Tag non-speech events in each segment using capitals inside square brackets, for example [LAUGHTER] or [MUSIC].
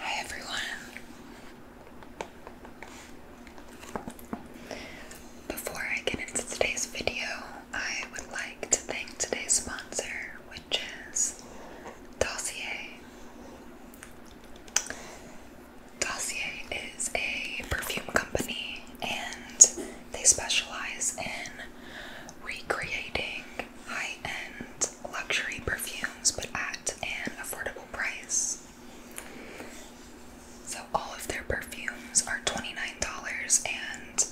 Hi everyone. Before I get into today's video, I would like to thank today's sponsor, which is Dossier. Dossier is a perfume company and they specialize in recreating high end luxury perfumes but at an affordable price. So, all of their perfumes are $29 and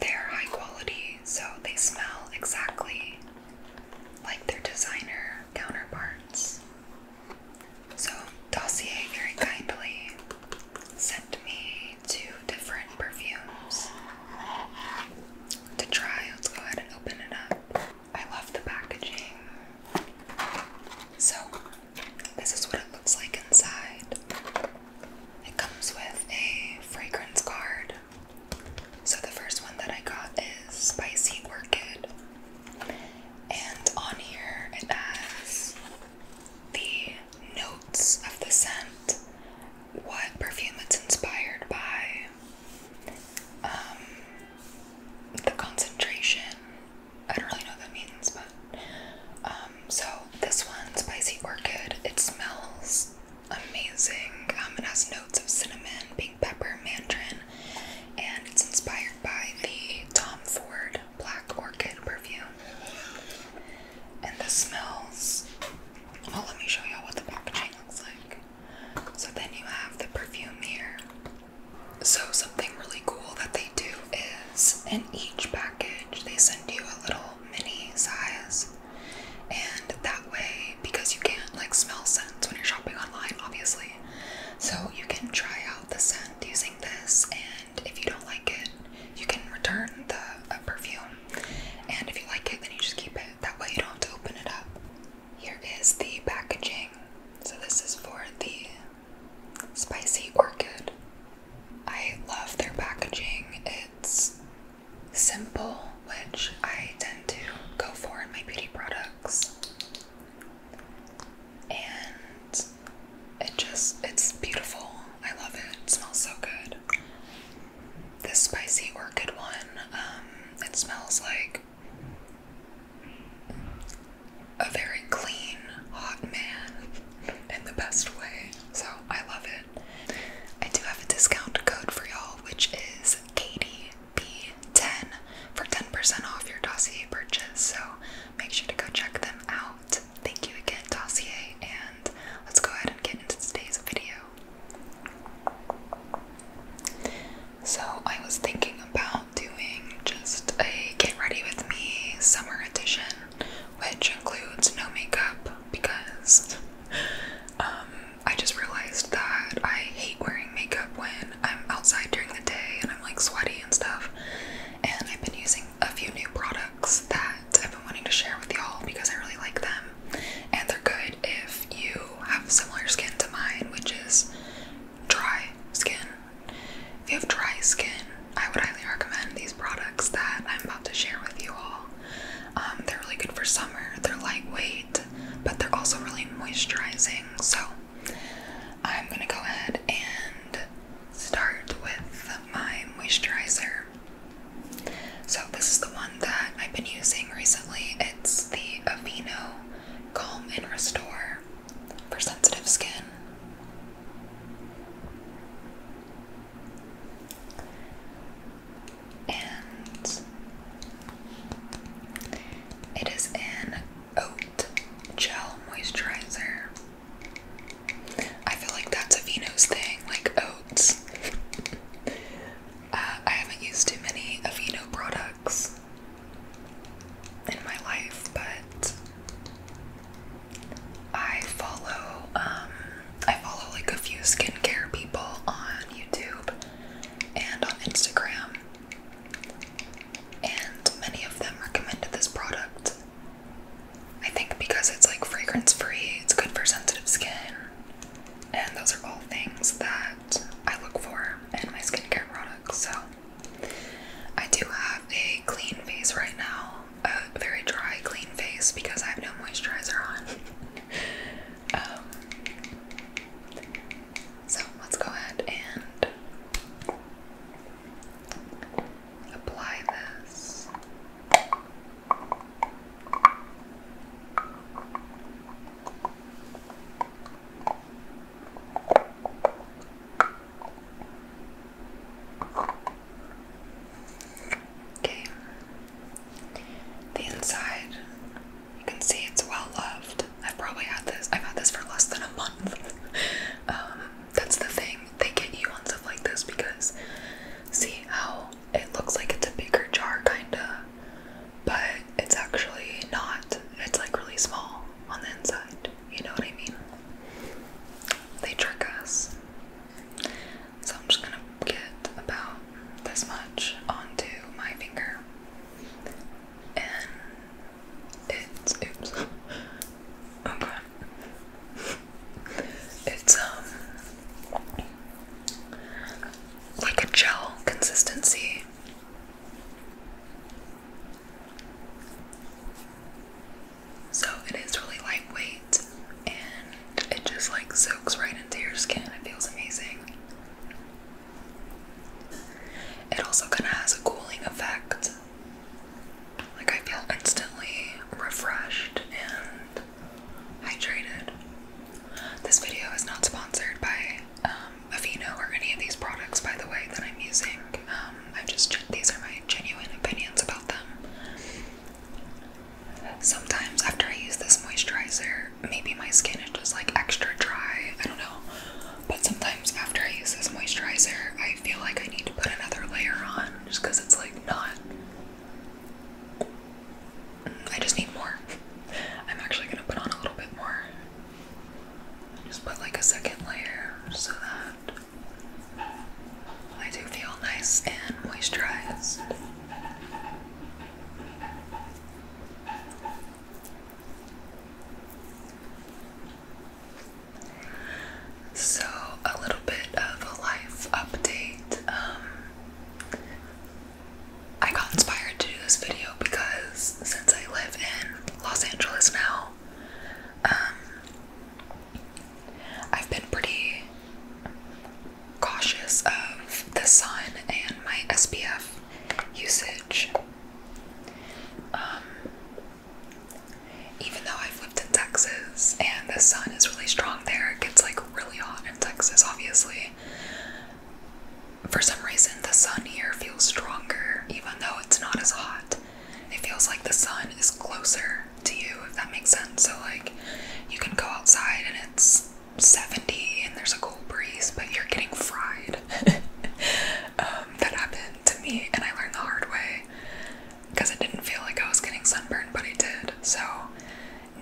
they're high quality, so they smell exactly like their designer counterparts. So, Dossier very kindly sent me two different perfumes to try. Let's go ahead and open it up. I love the packaging. So, this is what it looks like inside. It comes with a fragrance card. So, the first one that I got is Spicy Orchid. And on here it has the notes of the scent, what perfume it's inspired by, um, the concentration. I don't really know what that means, but um, so this one, Spicy Orchid, it smells amazing. Um, it has notes of cinnamon, pink pepper, mandarin, and it's inspired by the Tom Ford Black Orchid perfume. And the smells. Well, let me show y'all what the packaging looks like. So then you have the perfume here. So something really cool that they do is in each package they send you a little mini size. And that way, because you can't like smell scents when you're shopping online, obviously. So you can try out the scent using this, and if you don't like it, you can return the perfume. And if you like it, then you just keep it. That way, you don't have to open it up. Here is the packaging. So, this is for the Spicy Orchid. I love their packaging. It's simple, which I tend to go for in my beauty products and it just it's beautiful. I love it. smells so good. This spicy orchid one, um, it smells like a very clean, hot man in the best way. So I love it. I do have a discount code for y'all, which is KDB10 for 10% off your dossier purchase. So make sure to go check them out. Thank you again, Dossier, and let's go ahead and get into today's video. So, I was thinking about doing just a Get Ready With Me summer edition, which includes no makeup because um, I just realized that I hate wearing makeup when I'm outside during the day and I'm like sweaty and stuff. And I've been using a few new products that I've been wanting to share with y'all because I really like them. And they're good if you have similar skin to mine, which is dry skin. If you have dry skin, I would highly recommend these products that I'm about to share with you all. Um, they're really good for summer, they're lightweight, but they're also really moisturizing. So I'm gonna go ahead and start with my moisturizer. So, this is the one that I've been using recently. It's the Avino Calm and Restore for sensitive skin. And it is an oat gel moisturizer. I feel like that's a Vino's thing, like oats. Uh, I haven't used too many Aveeno products in my life, but I follow um, I follow like a few skincare people on YouTube and on Instagram, and many of them recommended this product I think because it's like fragrance free, it's good for sensitive skin. And those are all things that I look for in my skincare products. So I do have a clean face right now, a very dry, clean face because I have no moisturizer on. [LAUGHS] Um, so let's go ahead and apply this. Okay, the inside, you can see it's well loved. I've probably had this, I've had this for less than a month. [LAUGHS] Um, that's the thing. They get you on stuff like this because see how it looks like it's a bigger jar kinda, but it's actually not. It's like really small on the inside. You know what I mean? They trick us. So I'm just gonna get about this much onto my finger and it's Okay. It's um like a gel consistency. So it is really lightweight and it just like soaks right into your skin. It feels amazing. It also kind of has a cooling effect. Like I feel instantly refreshed and hydrated. This video is not sponsored by um, Avino or any of these products, by the way, that I'm using. Um, I just these are my genuine opinions about them. Sometimes after I use this moisturizer, maybe my skin is just like extra dry. I don't know. But sometimes after I use this moisturizer, I feel like I need to put another layer on just it's like not. I just need more. [LAUGHS] I'm actually gonna put on a little bit more. Just put like a second layer so that I do feel nice and moisturized. So, a little bit of a life update. Um, I got inspired to do this video because since I live in Los Angeles now, um, I've been pretty cautious of the sun and my SPF usage. Um, even though I've lived in Texas and the sun is really strong there, it gets like really hot in Texas, obviously. For some reason, the sun here feels stronger, even though it's not as hot. It feels like the sun is closer to you, if that makes sense. So, like, you can go outside and it's 70 and there's a cool breeze, but you're getting fried. [LAUGHS] Um, that happened to me, and I learned the hard way because it didn't feel like I was getting sunburned, but I did. So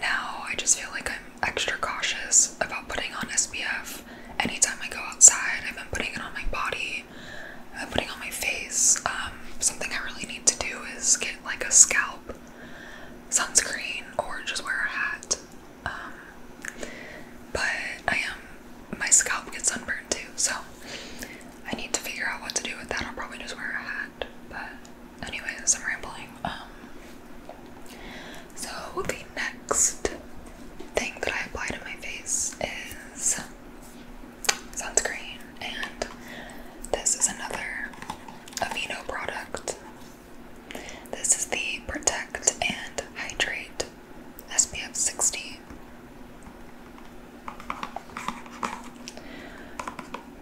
now I just feel like I'm extra cautious about putting on SPF anytime I go outside. I've been putting it on my body, I've been putting it on my face. Um, something I really need to do is get like a scalp sunscreen or just wear a hat. Um, but I am, my scalp gets sunburned too, so I need to figure out what to do with that. I'll probably just wear a hat. But anyways, I'm rambling. Um so the next thing that I apply to my face is sunscreen and this is another Aveeno product. This is the Protect and Hydrate SPF 60.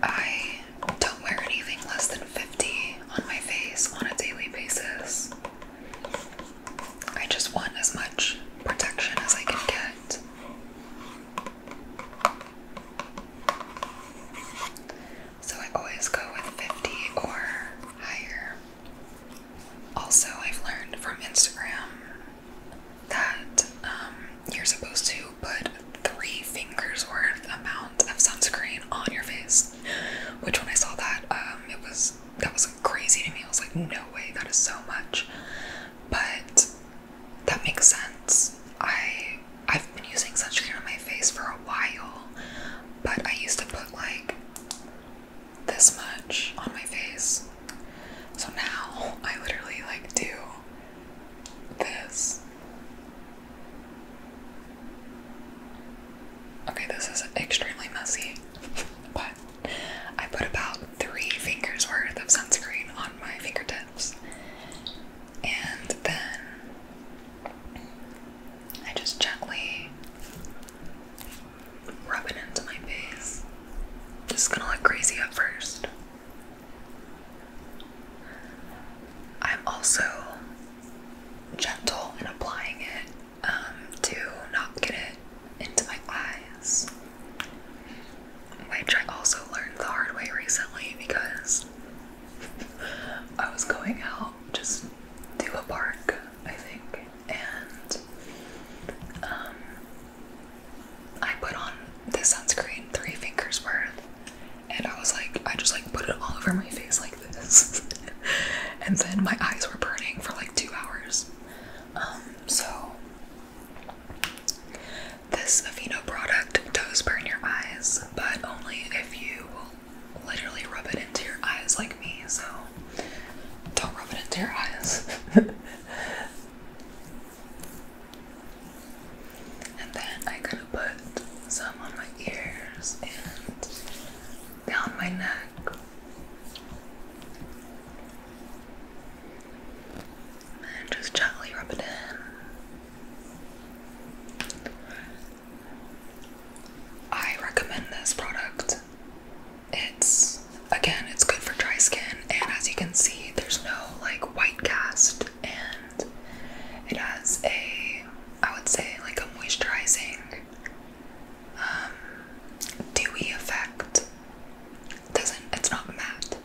I don't wear anything less than 50 on my face on a daily basis. I just want as much protection as I can get. So I always go with 50 or higher. Also, I've learned from Instagram that um, you're supposed to put three fingers worth amount of sunscreen on your face. Which, when I saw that, um, it was that was crazy to me. I was like, no way, that is so much. But that makes sense. I I've been using sunscreen on my face for a while, but I used to put like this much on my face. So now [LAUGHS] I literally like do this. Okay, this is extremely messy, [LAUGHS] but I put about three fingers worth of sunscreen on my fingertips. And then I just gently rub it into my face. Just gonna look crazy at first. I'm also gentle in applying it um, to not get it into my eyes, which I also learned the hard way recently because [LAUGHS] I was going out just to a park, I think, and um, I put on this sunscreen, three fingers worth, and I was like, I just like put it all over my face like this, [LAUGHS] and then my eyes were burning for like two hours. Um, so this Aveeno product does burn your eyes, but only if you literally rub it into your eyes like me. So don't rub it into your eyes. [LAUGHS] And then I am going to put some on my ears and down my neck. And just gently rub it in. I recommend this product it's again, it's good for dry skin, and as you can see, there's no like white cast, and it has a, I would say, like a moisturizing, um, dewy effect. doesn't it's not matte.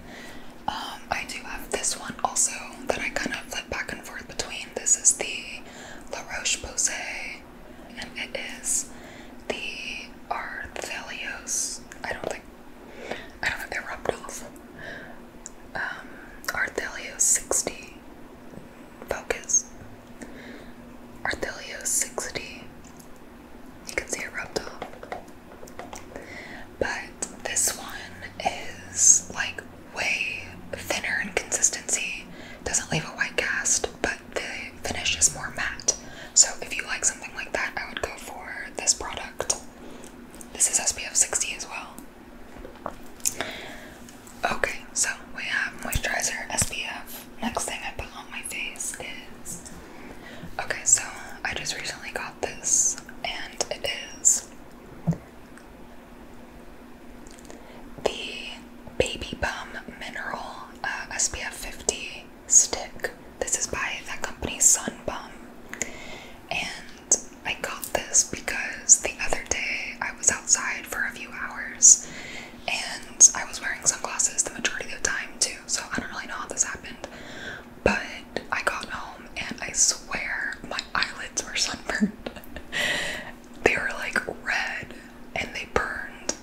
Um, I do have this one also that I kind of flip back and forth between. This is the La Roche Posay, and it is the are I don't think I don't think they're reptiles. Um, Arthelios 60 focus. Arthelios 60. You can see a reptile. But this one is like way thinner in consistency. Doesn't leave a white cast but the finish is more matte. So if you like something like that, I would go for this product. This is SPF 60 as well. Okay, so we have moisturizer SPF. Next thing I put on my face is okay, so I just recently got this, and it is the Baby Bum Mineral uh, SPF 50 stick. This is by that company Sunbum. And I got this because the other day I was outside for a few hours and I was wearing sunglasses the majority of the time too, so I don't really know how this happened. But I got home and I swear my eyelids were [LAUGHS] sunburned. they were like red and they burned,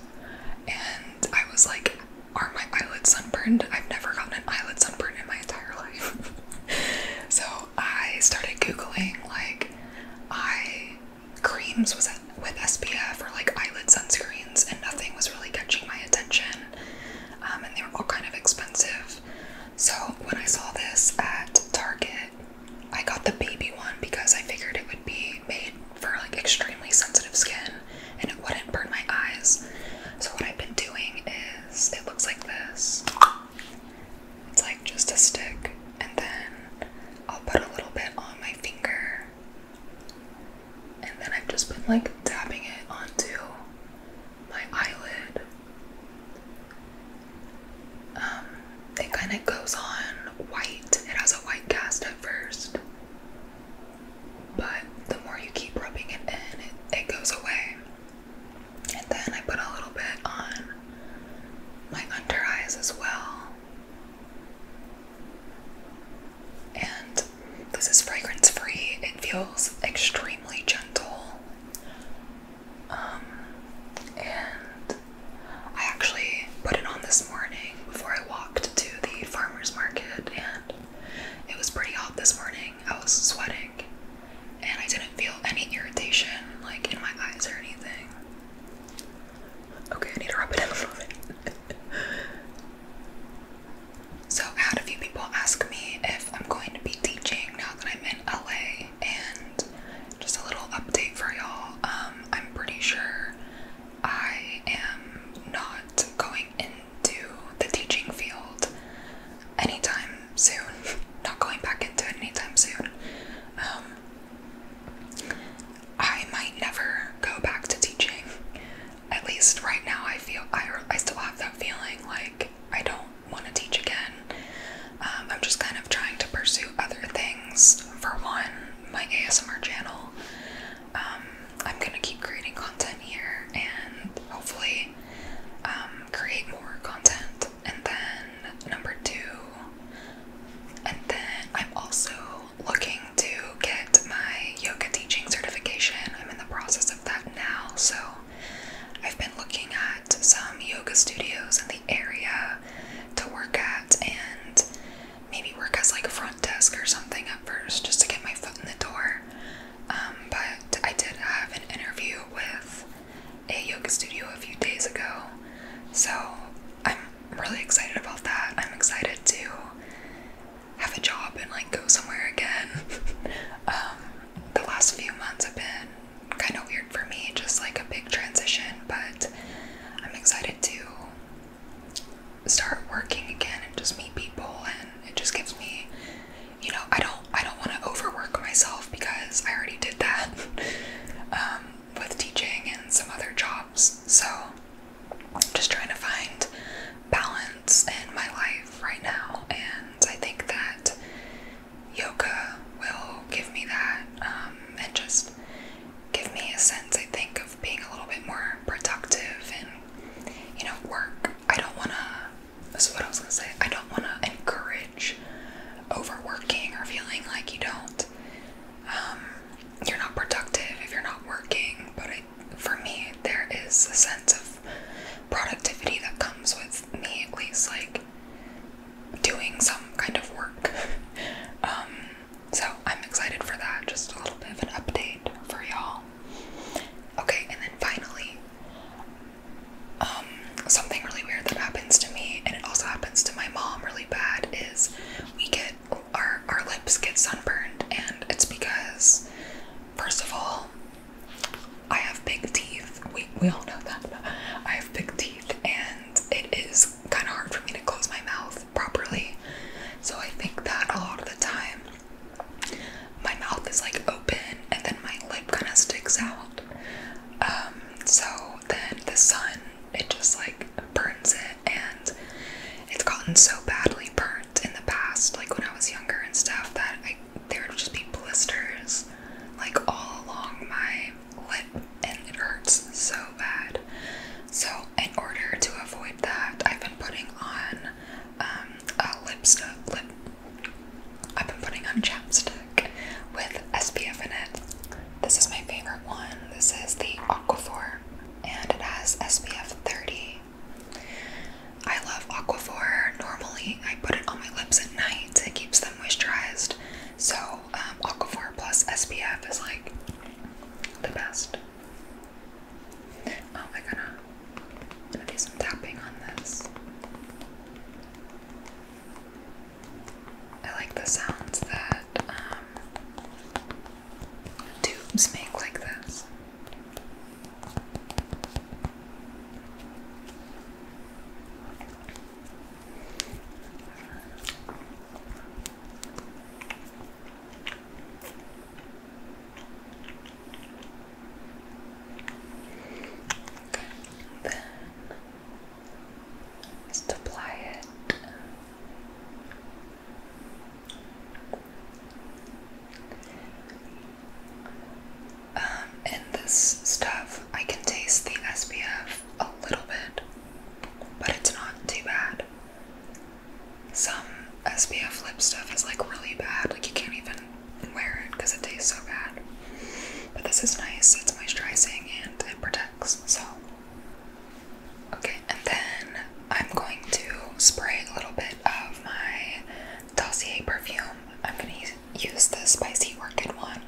and I was like, are my eyelids sunburned? I've never gotten an eyelid sunburn in my entire life. [LAUGHS] so I started googling like eye creams was it with SPF or like eyelid sunscreens, and nothing was really catching my attention. Um, and they were all kind of expensive. So when I saw this at Target, I got the baby one because I figured it would be made for like extremely sensitive skin and it wouldn't burn my eyes. So what I've been doing is it looks like this. It's like just a stick and then I'll put a little bit on my finger. And then I've just been like dabbing it onto my eyelid. Um, it kind of goes on white. It has a white cast at first but the more you keep rubbing it in, it, goes away. And then I put a little bit on my under eyes as well. And this is fragrance free, it feels extremely gentle. Um, and I actually put it on this morning before I walked to the farmer's market and it was pretty hot this morning. I was sweating and I didn't feel any irritation like in my eyes or anything. Okay, I need to rub it in a little bit. [LAUGHS] so I had a few people ask me if I'm going to be teaching now that I'm in LA and just a little update for y'all. Um, I'm pretty sure I am not going into the teaching field anytime soon. [LAUGHS] not going back into it anytime soon. Um, I might never go back to teaching. At least right now, I feel I, I still have that feeling like I don't want to teach again. Um, I'm just kind of trying to pursue other things. For one, my ASMR channel. Um, I'm gonna keep creating content here and hopefully um, create more content. And then number two, and then I'm also looking to get my yoga teaching certification. I'm in the process of that now, so I've been looking at some yoga studios in the area to work at and maybe work as like a front desk or something at first just to get my foot in the door. Um, but I did have an interview with a yoga studio a few days ago, so I'm really excited about that. I'm excited to have a job and like go somewhere again. [LAUGHS] Um, the last few months have been kind of weird for me, just like a big transition, but I'm excited to start working again and just meet people and it just gives me you know I don't I don't want to overwork myself because I already did that [LAUGHS] um, with teaching and some other jobs so I'm just trying to find balance in my life right now and I think that yoga will give me that um, and just give me a sense I think being a little bit more productive and, you know, work. I don't want to, this is what I was going to say, I don't want to encourage overworking or feeling like you don't, um, you're not productive if you're not working. But for me, there is a sense of productivity that comes with me, at least, like doing some kind of work. [LAUGHS] Um, so I'm excited for that. Just a little bit of an update for y'all. Okay, and then finally, um, something really weird that happens to me, and it also happens to my mom really bad, is we get our our lips get sunburned, and it's because first of all, I have big teeth. We we all know that. I have big teeth, and it is kind of hard for me to close my mouth properly. So I think that a lot of the time my mouth is like open and then my lip kind of sticks out. Um, so then the sun, it just like burns it and it's gotten so badly burnt in the past, like when I was younger and stuff, that I there would just be blisters like all along my lip and it hurts so bad. So, in order to avoid that, I've been putting on um, a lipstick. Lip. I've been putting on chapstick with SPF in it. This is my favorite one. This is the Aquaphor, and it has SPF 30. I love Aquaphor. Normally, I put it on my lips at night. It keeps them moisturized. So, um, Aquaphor plus SPF is like the best. Oh, we're I'm do some tapping on this. I like the sounds that um, tubes make like this. Then just apply it. Um, in this stuff, I can taste the SPF a little bit, but it's not too bad some SPF lip stuff is like really bad, like you can't even wear it because it tastes so bad. But this is nice, it's moisturizing and it protects, so. Okay, and then I'm going to spray a little bit of my Dossier perfume. I'm gonna use the Spicy Orchid one.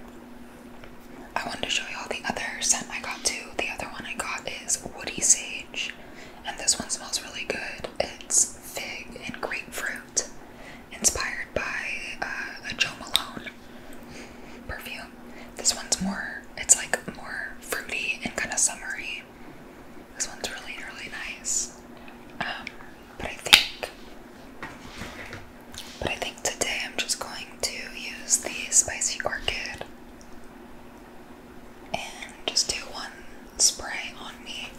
I wanted to show you all the other scent I got too. The other one I got is Woody Sage and this one smells really good. It's fig and grapefruit, inspired by uh, a Joe Malone perfume. This one's more, it's like more fruity and kind of summery. This one's really, really nice. Um, but I think, but I think today I'm just going to use the spicy orchid and just do one spray on me.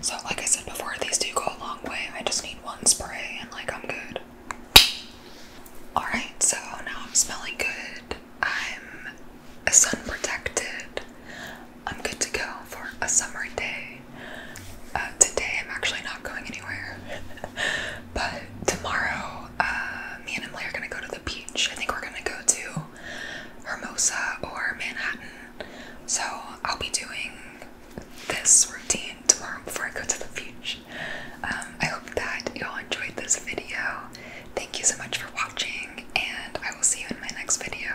So, like I said before, these do go a long way. I just need one spray and, like, I'm good. Alright, so now I'm smelling good. I'm sun protected. I'm good to go for a summer day. Uh, today, I'm actually not going anywhere, [LAUGHS] but tomorrow, uh, me and Emily are gonna go to the beach. I think we're gonna go to Hermosa or Manhattan. So, I'll be doing this routine tomorrow before I go to the beach. Um, I hope that you all enjoyed this video. Thank you so much for watching, and I will see you in my next video.